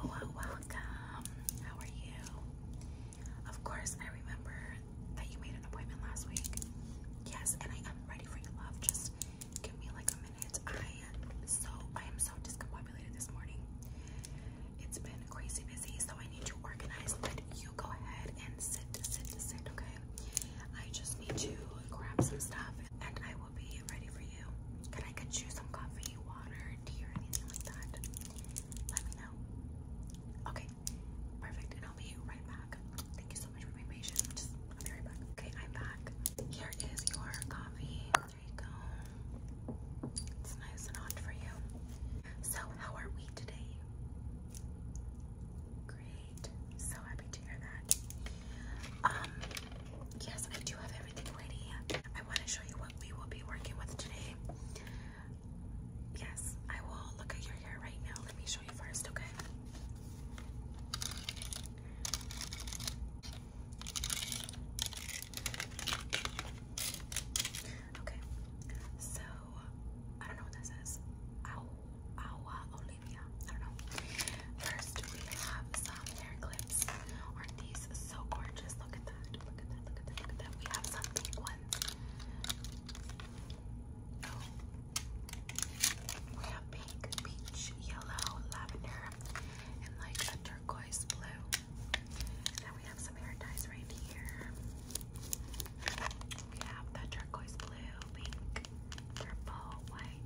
Hello, welcome. How are you? Of course, I remember that you made an appointment last week. Yes, and I am ready for your love. Just give me like a minute. I so I am so discombobulated this morning. It's been crazy busy, so I need to organize. But you go ahead and sit, sit, sit. Okay. I just need to grab some stuff, and I will be ready for you. Can I get you some coffee, water, tea, anything like that? Let me know. Okay, perfect. And I'll be right back. Thank you so much for being patient. I'm just, will be right back. Okay, I'm back. Here is your coffee. There you go. It's nice and hot for you. So, how are we today? Great. So happy to hear that. Um, yes, I do have everything ready. I want to show you what we will be working with today. Yes, I will look at your hair right now. Let me show you first, okay? Okay, so I don't know what this is maybe I don't know. First, we have some hair clips. are these so gorgeous? Look at that. Look at that. Look at that. Look We have some pink ones. We have pink, peach, yellow, lavender, and like turquoise blue. then we have some hair ties right here. We have the turquoise blue, pink, purple, white,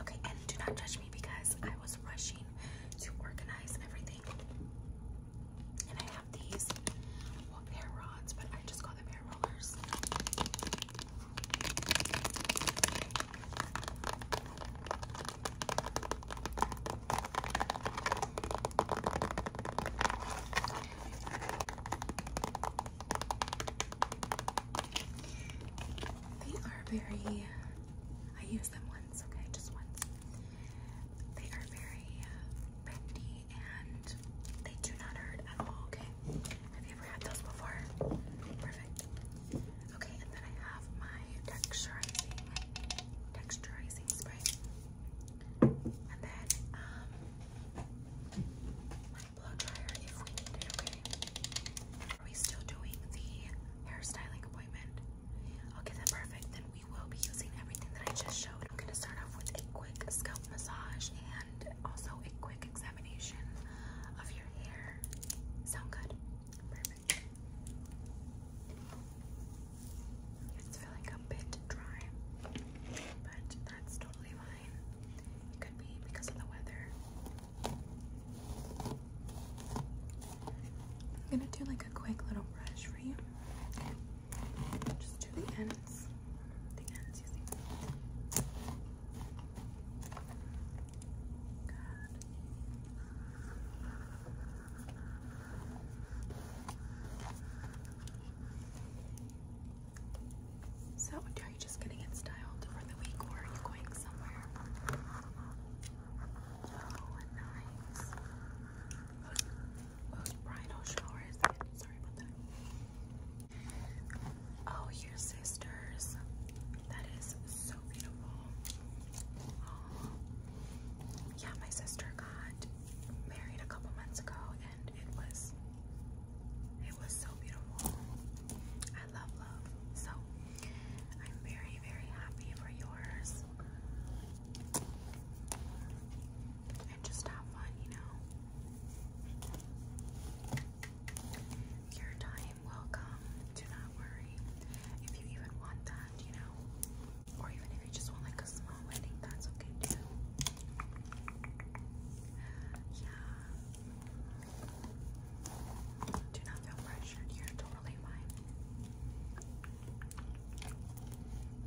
Okay, and do not judge me because I was rushing to organize everything. And I have these hair rods, but I just call them hair rollers. They are very, I used them once, okay, just once. They are very uh, bendy and they do not hurt at all, okay? Have you ever had those before? Perfect. Okay, and then I have my texturizing texturizing spray. And um, Are we still doing the hairstyling appointment? Okay, then perfect. Then we will be using everything that I just showed. I'm gonna start off with a quick scalp massage and also a quick examination of your hair. Sound good? Perfect. It's feeling a bit dry, but that's totally fine. It could be because of the weather. I'm gonna do like a quick little brush for you. Just do the ends. The ends, you so, are you just getting to styled for the week or are you going somewhere? Oh, nice. Whose, oh, your sisters. That is so beautiful. Yeah, my sister got married a couple months ago and it was it was so beautiful. I love love. So I'm very, very happy for yours. And just have fun, you know. Your time will come. Do not worry. If you even want that, you know. Or even if you just want like a small wedding, that's okay too. Yeah. Do not feel pressured. You're totally fine.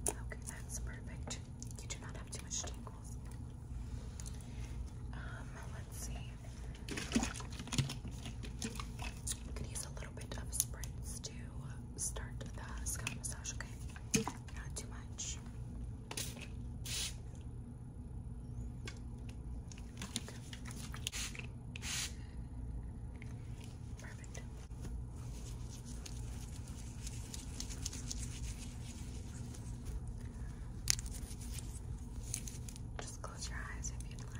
Okay, that's perfect. You do not have too much tingles. Um, let's see. could use a little bit of spritz to start the scalp massage, okay? Not too much. Perfect. Just close your eyes if you'd like.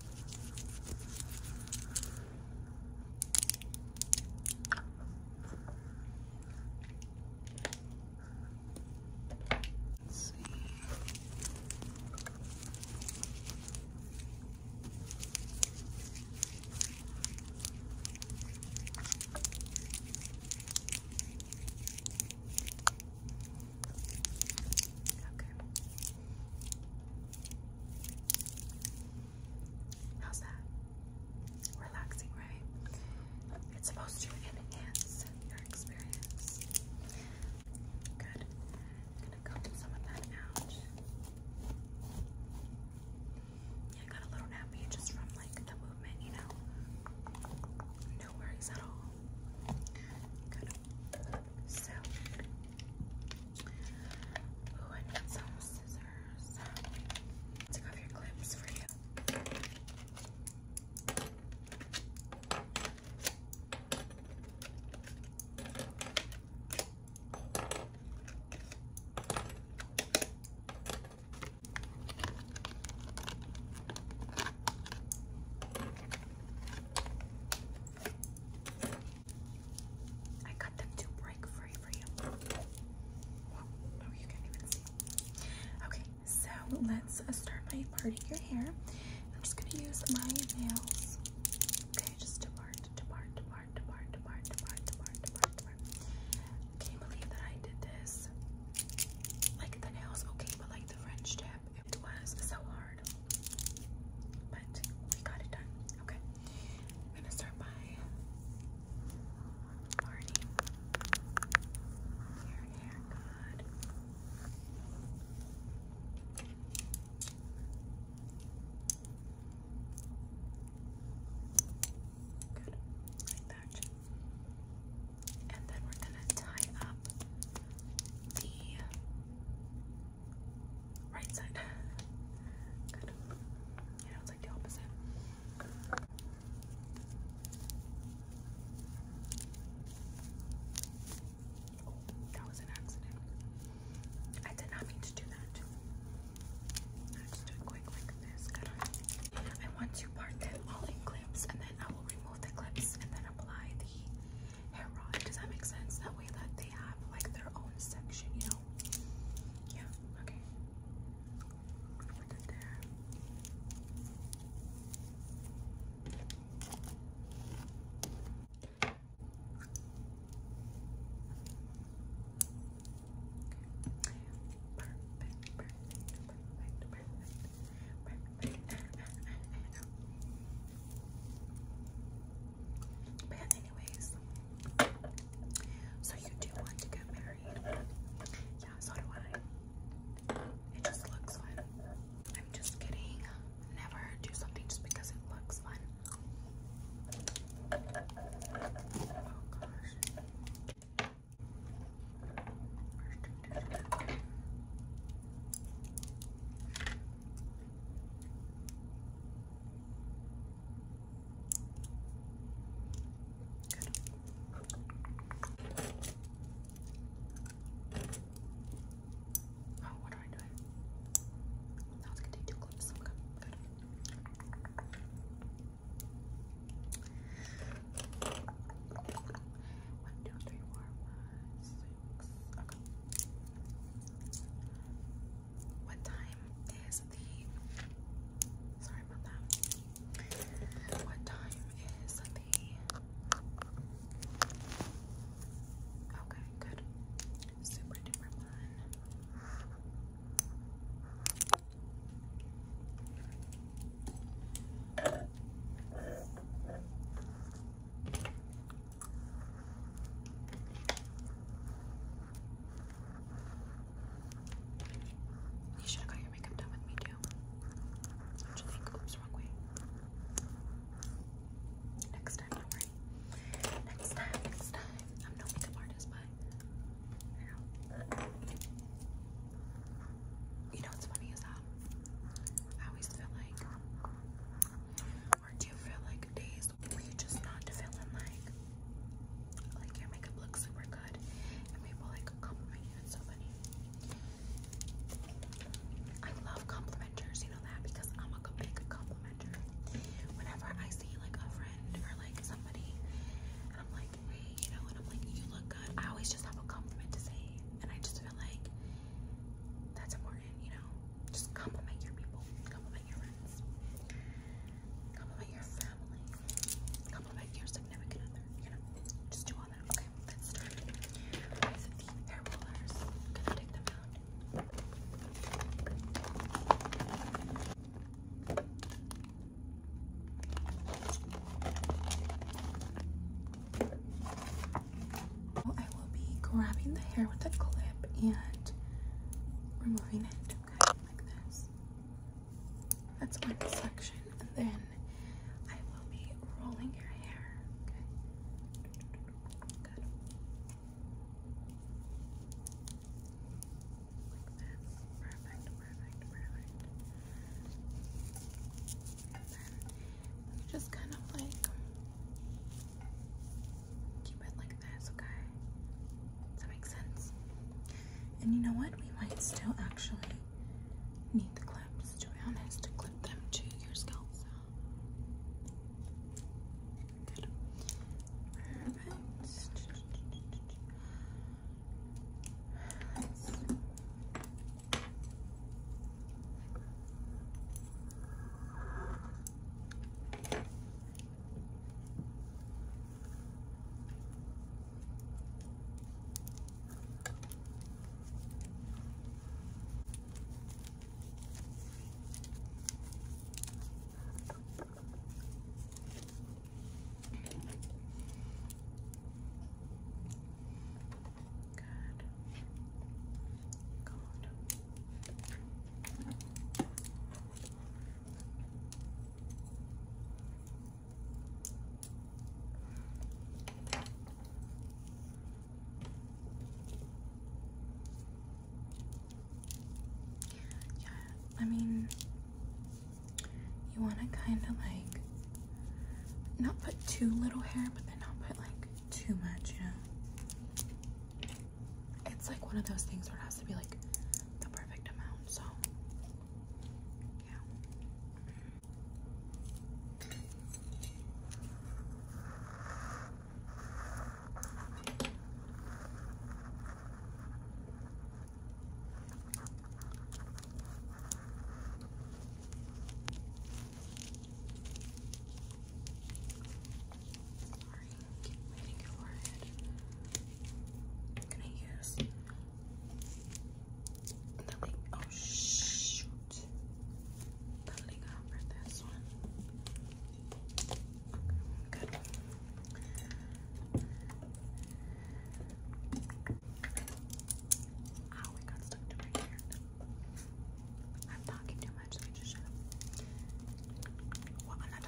Let's see. Okay. How's that? Relaxing, right? It's supposed to enhance your experience. Good. gonna comb some of that out. Yeah, got a little nappy just from like the movement, you know. No worries at all. So Oh, I need some scissors. Took off your clips for you. I cut them to break free for you. Well, oh, you can't even see. Okay, so let's uh, start by parting your hair. I'm just gonna use my nails. Okay, just to part, to part, to part, to part, to part, to part, to part, to part, to part. Can you believe that I did this? Like the nails, okay, but like the French tip, it was so hard. But we got it done. Okay. I'm gonna start by parting your hair good. Good. Like that. And then we're gonna tie up the right side. Good. it's like the opposite. that was an accident. I did not mean to do that. I just do it quick like I want to part the all in clips and then I will remove the clips and then apply the hair rod. Does that make sense? That way that they have like their own section, you know? Yeah, okay. Put Perfect, perfect, perfect, perfect, perfect. Anyways, so you do want to get married? Yeah, so do I. It just looks fun. I'm just kidding. Never do something just because it looks fun. Oh, what am I doing? Now it's gonna take two clips. One, two, three, four, five, six. What time is the sorry about that. What time is the Okay, good. Super duper fun. You should have got your makeup done with me too. Don't you think? Oops, wrong way. Next time, Next time, next time. I'm no makeup artist, but you know. You know what's funny is that um, I always feel like do you feel like days where you just not feeling like like your makeup looks super good and people like compliment you so funny. I love complimenters, you know that because I'm a big complimenter. Whenever I see like a friend or like somebody and I'm like, you know, and I'm like, you look good. I always just have a compliment to say and I just feel like that's important, you know. Just compliment your people compliment your friends, compliment your family, compliment your significant other. just do all that. Okay, let's start hair rollers. I'm gonna take them out. Oh, I will be grabbing the hair with a clip and removing it, okay, like this. That's one section, and then I will be rolling your hair, okay? Good. Like this. Perfect, perfect, perfect. just kind of like Keep it like this, okay? Does that make sense? And you know what? We might still actually need the clips, to be honest, to clip them to your scalp. Good. Perfect. Let's Good. God. Yeah, I mean, you want to kind of like not put too little hair, but then not put like too much, you know it's like one of those things where it has to be like the perfect amount, so yeah. Sorry, keep I'm gonna use the Oh shoot, the link for this one. Okay, good. got stuck to my I'm talking too much, let me just shut up. Well, I'm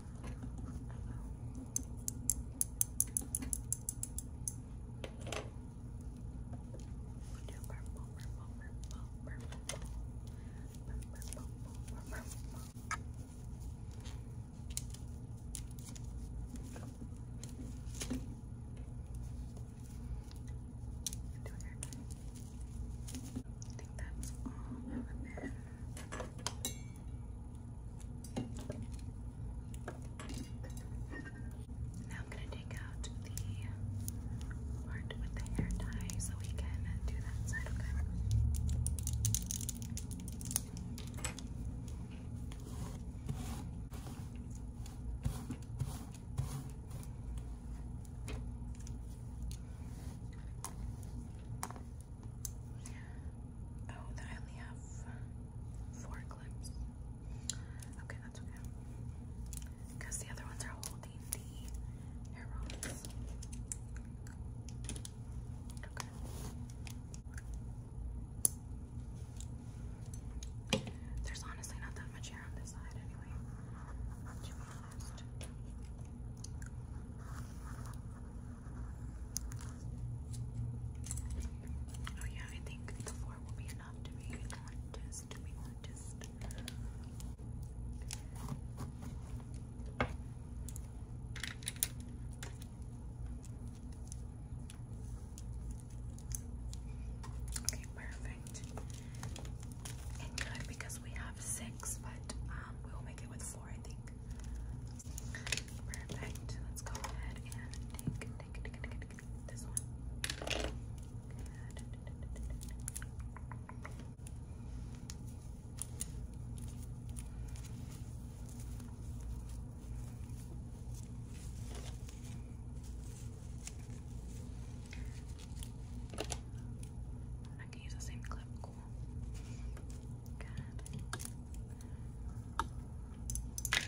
We'll I think that's all of it. Now I'm going to take out the part with the hair tie so we can do that side, Okay, Oh, then I only have four clips. Okay, that's okay. Because the other ones are holding the hair Okay. There's honestly not that much hair on this side anyway, Oh yeah, I think four will be enough to make one to make one Okay, perfect. And good because we have six, but um, we will make it with four, I think. Perfect. Let's go ahead and take, this one. I can use the same clip, cool. Good.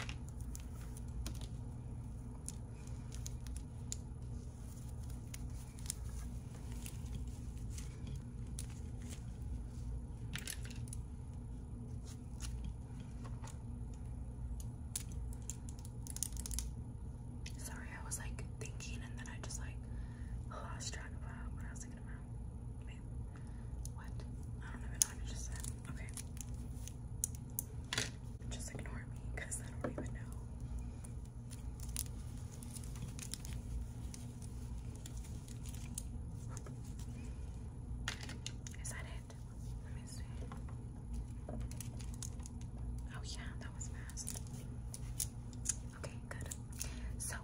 Sorry, I was like thinking and then I just like lost track of what I was thinking about what? I don't even know what I just said. Okay. Just ignore me because I don't even know. Is that it? Let me see. Oh, yeah, that was fast. Okay, good. So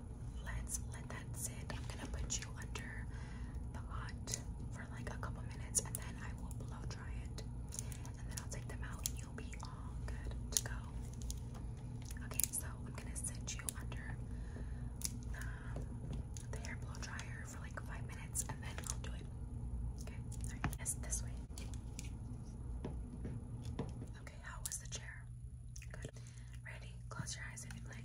let's let that I'm gonna put you under the hot for like a couple minutes and then I will blow dry it. And then I'll take them out and you'll be all good to go. Okay, so I'm gonna send you under the hair blow dryer for like five minutes and then I'll do it. Okay, all right, this way. Okay, how was the chair? Good. Ready? Close your eyes and you'd like.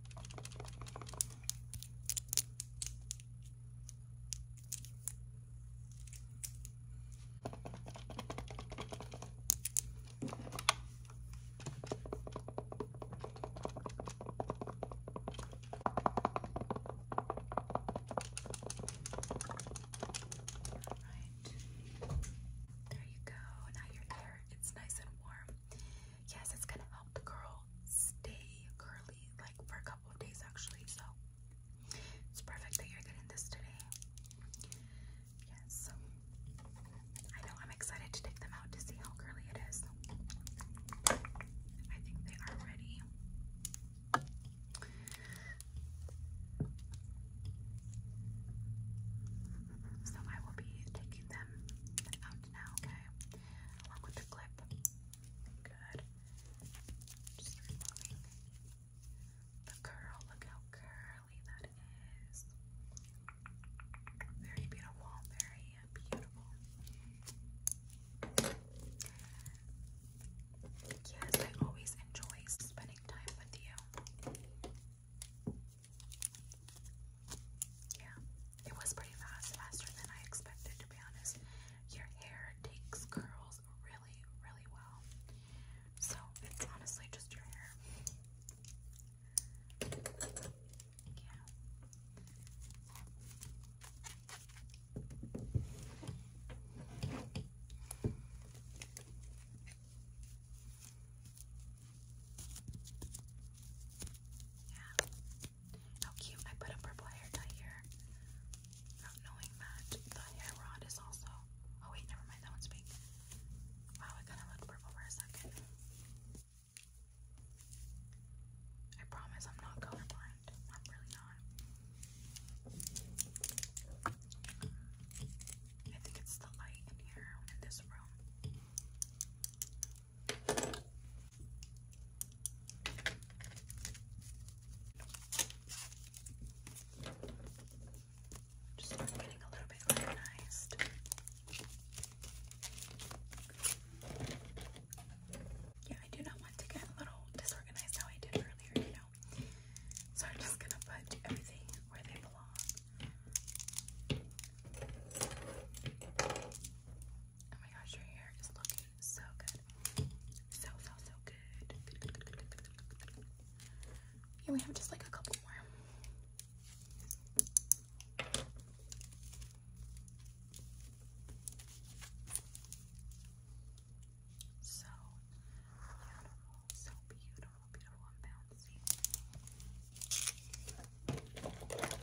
There you go. Now you're It's nice and warm. Yes, it's gonna help the curl stay curly like for a couple of days actually. So it's perfect that you're getting this today. Yes, I know I'm excited to take them out to see how curly it is. I think they are ready. So I will be taking them out left okay? Along with the clip. Good. Just removing the curl. Look how curly that is. Very beautiful. Very beautiful. Yes, I always enjoy spending time with you. Yeah, it was pretty fast, faster than I expected to be honest. Your hair takes curls really, really well. So it's honestly just your hair. Yeah. Yeah. How cute. I put a purple hair tie here. knowing that the hair rod is also. Oh, wait, never mind. That one's pink. Wow, it kind of looked purple for a second. I promise I'm not colorblind. I'm really not. I think it's the light in here in this room. Just getting a little bit organized. Yeah, I do not want to get a little disorganized how I did earlier, you know. So I'm just gonna put everything where they belong. Oh my gosh, your hair is looking so good. So, so, so good. Good, Yeah, we have just like a couple more. So beautiful, so beautiful, beautiful and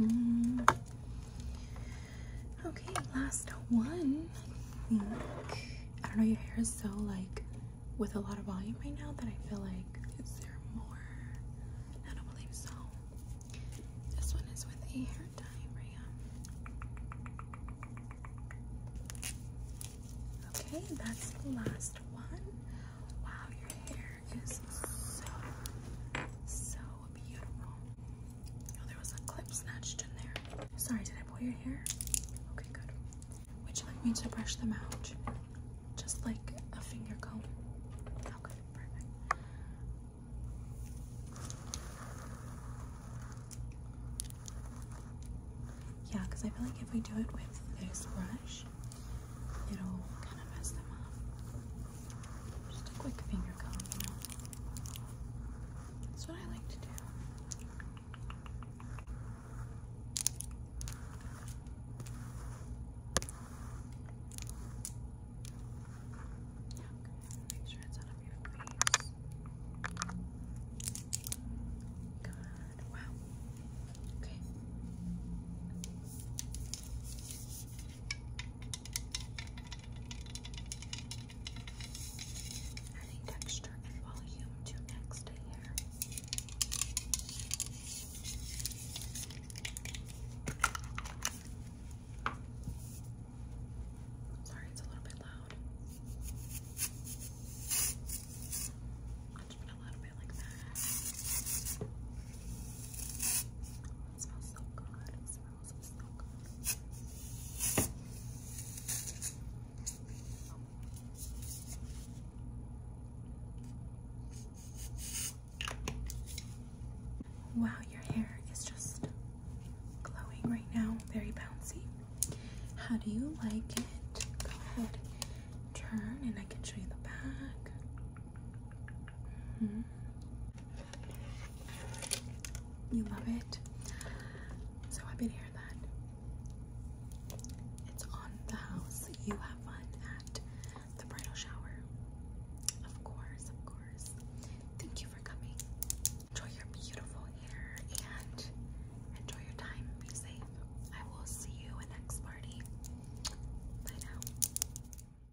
Mm-hmm. okay, last one. I think I don't know. Your hair is so like with a lot of volume right now that I feel like is there more? I don't believe so. This one is with a hair dye, Rhea. Okay, that's the last one. Wow, your hair is so so Oh, there was a clip snatched in there. Sorry, did I pull your hair? Okay, good. Would you like me to brush them out? Just like a finger comb? Okay, perfect. Yeah, because I feel like if we do it with this brush, it'll kind of mess them up. Just a quick finger comb, you know. That's what I like to do. Okay, make sure it's out of your face. Good. Wow. Okay. Adding texture and volume to next layer. Sorry, it's a little bit loud. just a little bit like that. smells so good. Wow, your hair is just glowing right now, very bouncy. How do you like it? Go ahead, turn, and I can show you the back. Mm-hmm. You love it. So happy to hear that. It's on the house. You have fun at the bridal shower. Of course, of course. Thank you for coming. Enjoy your beautiful hair and enjoy your time. Be safe. I will see you in next party. Bye now.